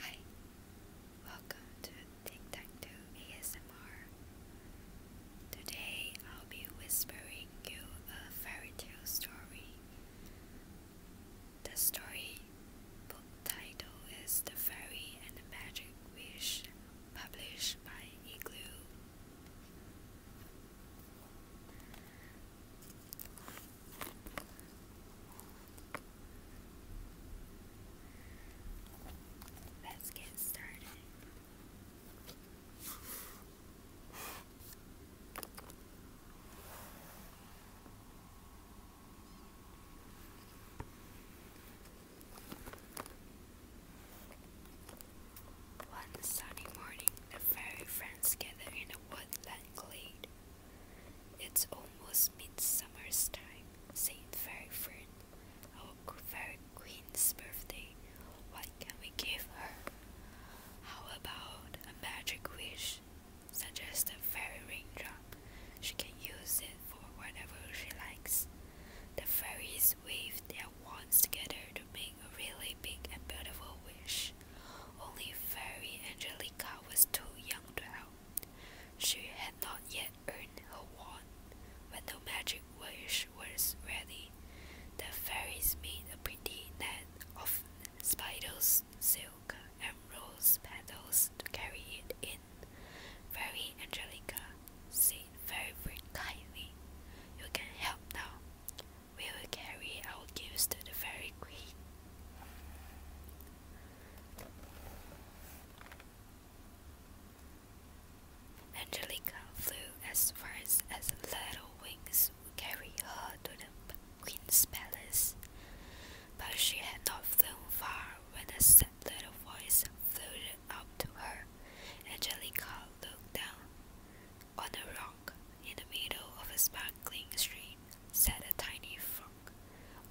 Hi, welcome to Tic Tac ASMR. Today I'll be whispering you a fairy tale story. The story book title is The Fairy and the Magic Wish, published by Igloo. Let's get started. One sunny morning, the fairy friends gather in a woodland glade. It's almost midsummer's time, Saint Fairy our fairy queen's birthday. What can we give her? How about a magic wish? Suggest a fairy raindrop. She can use it for whatever she likes. The fairies wave their wands together to make a really big and beautiful wish. Only Fairy Angelica was too young to help. She had not yet earned her wand. When the magic wish was ready, the fairies made a pretty net of spiders, silk, and rose petals to carry it in. Fairy Angelica said very, very kindly, You can help now. We will carry our gifts to the fairy queen. Angelica flew as far as her little wings would carry her to the queen's palace, but she had not flown far when a sad little voice floated up to her. Angelica looked down. On a rock in the middle of a sparkling stream sat a tiny frog.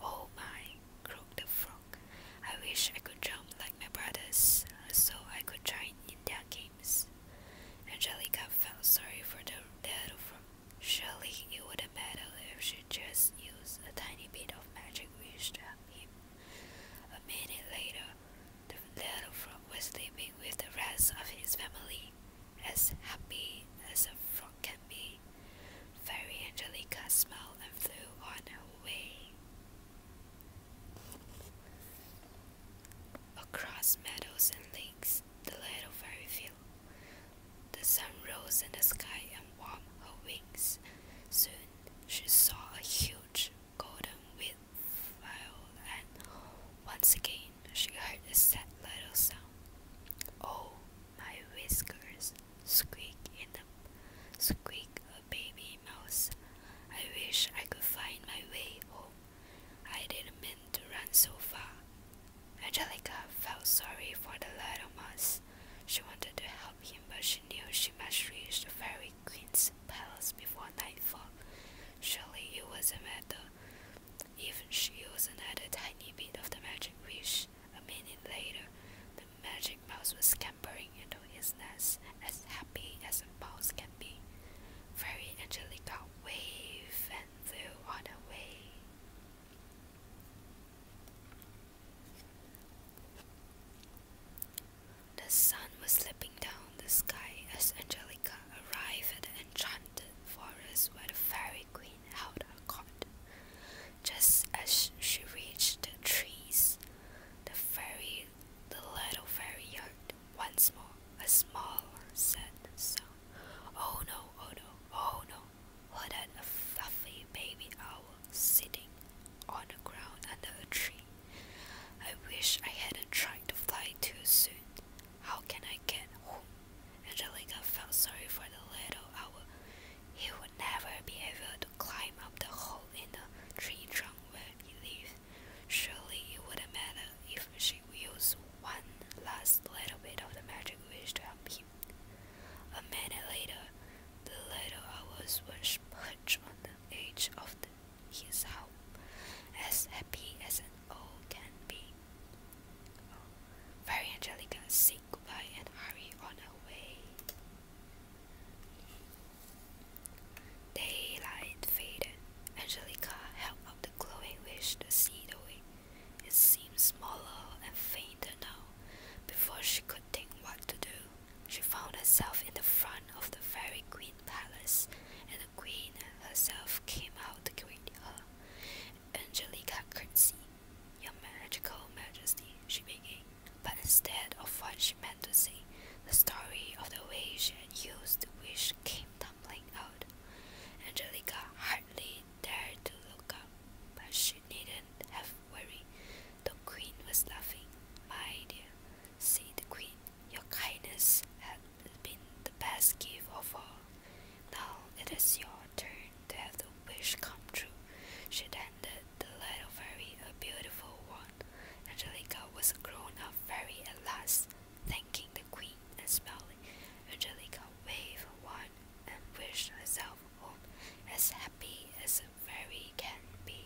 Oh my, croaked the frog. I wish I could jump like my brothers, so I could join in their games. Angelica felt sorry for the little frog. Surely it wouldn't matter if she just used a tiny bit of magic wish to help him. A minute later, the little frog was sleeping with the rest of his family, as happy as a frog can be. Fairy Angelica smiled and flew on her way. Across meadows and lakes, the little fairy flew. The sun rose in the sky and warmed her wings. Soon she saw a huge golden wheat file, and once again she heard a sad little sound. Oh, my whiskers squeak in the squeak a oh, baby mouse. I wish I could find my way home. I didn't mean to run so far. Angelica felt sorry for the little mouse. She wanted to help him, but she knew she must reach the fairy queen's palace before nightfall. Surely it was not a matter even she used another tiny bit of the magic wish. A minute later, the magic mouse was scampering into his nest, as happy as a mouse can be. Fairy Angelica waved and flew on away. The sun was slipping down the sky as Angelica arrived at the enchanted forest where the fairy queen held her court. Just as she reached the trees, the fairy, the little fairy heard once more a small, sad sound. Oh no, oh no, oh no! What an a fluffy baby owl sitting on the ground under a tree. I wish I hadn't tried to fly too soon. How can I get home? Angelica felt sorry for the little owl. He would never be able to climb up the hole in the tree trunk where he lived. Surely it wouldn't matter if she used one last little bit of the magic wish to help him. A minute later, the little owl was perched on the edge of the his home, as happy as an owl can be. Fairy oh, Angelica said goodbye and hurried on her way. Daylight faded. Angelica held up the glowing wish to see the way. It seemed smaller and fainter now. Before she could think what to do, she found herself in the front of the fairy queen. Palace, and the Queen herself came out to greet her. Angelica curtsied. Your magical majesty, she began, but instead of what she meant to say, the story of the way she used the wish came tumbling out. Angelica hardly dared to look up, but she needn't have worried. The queen was laughing. My dear, said the queen, your kindness has been the best gift of all. Now it is your turn to have the wish come true. She handed the little fairy a beautiful wand. Angelica was a grown up fairy at last. Thanking the queen and smiling, Angelica waved her wand and wished herself home as happy as a fairy can be.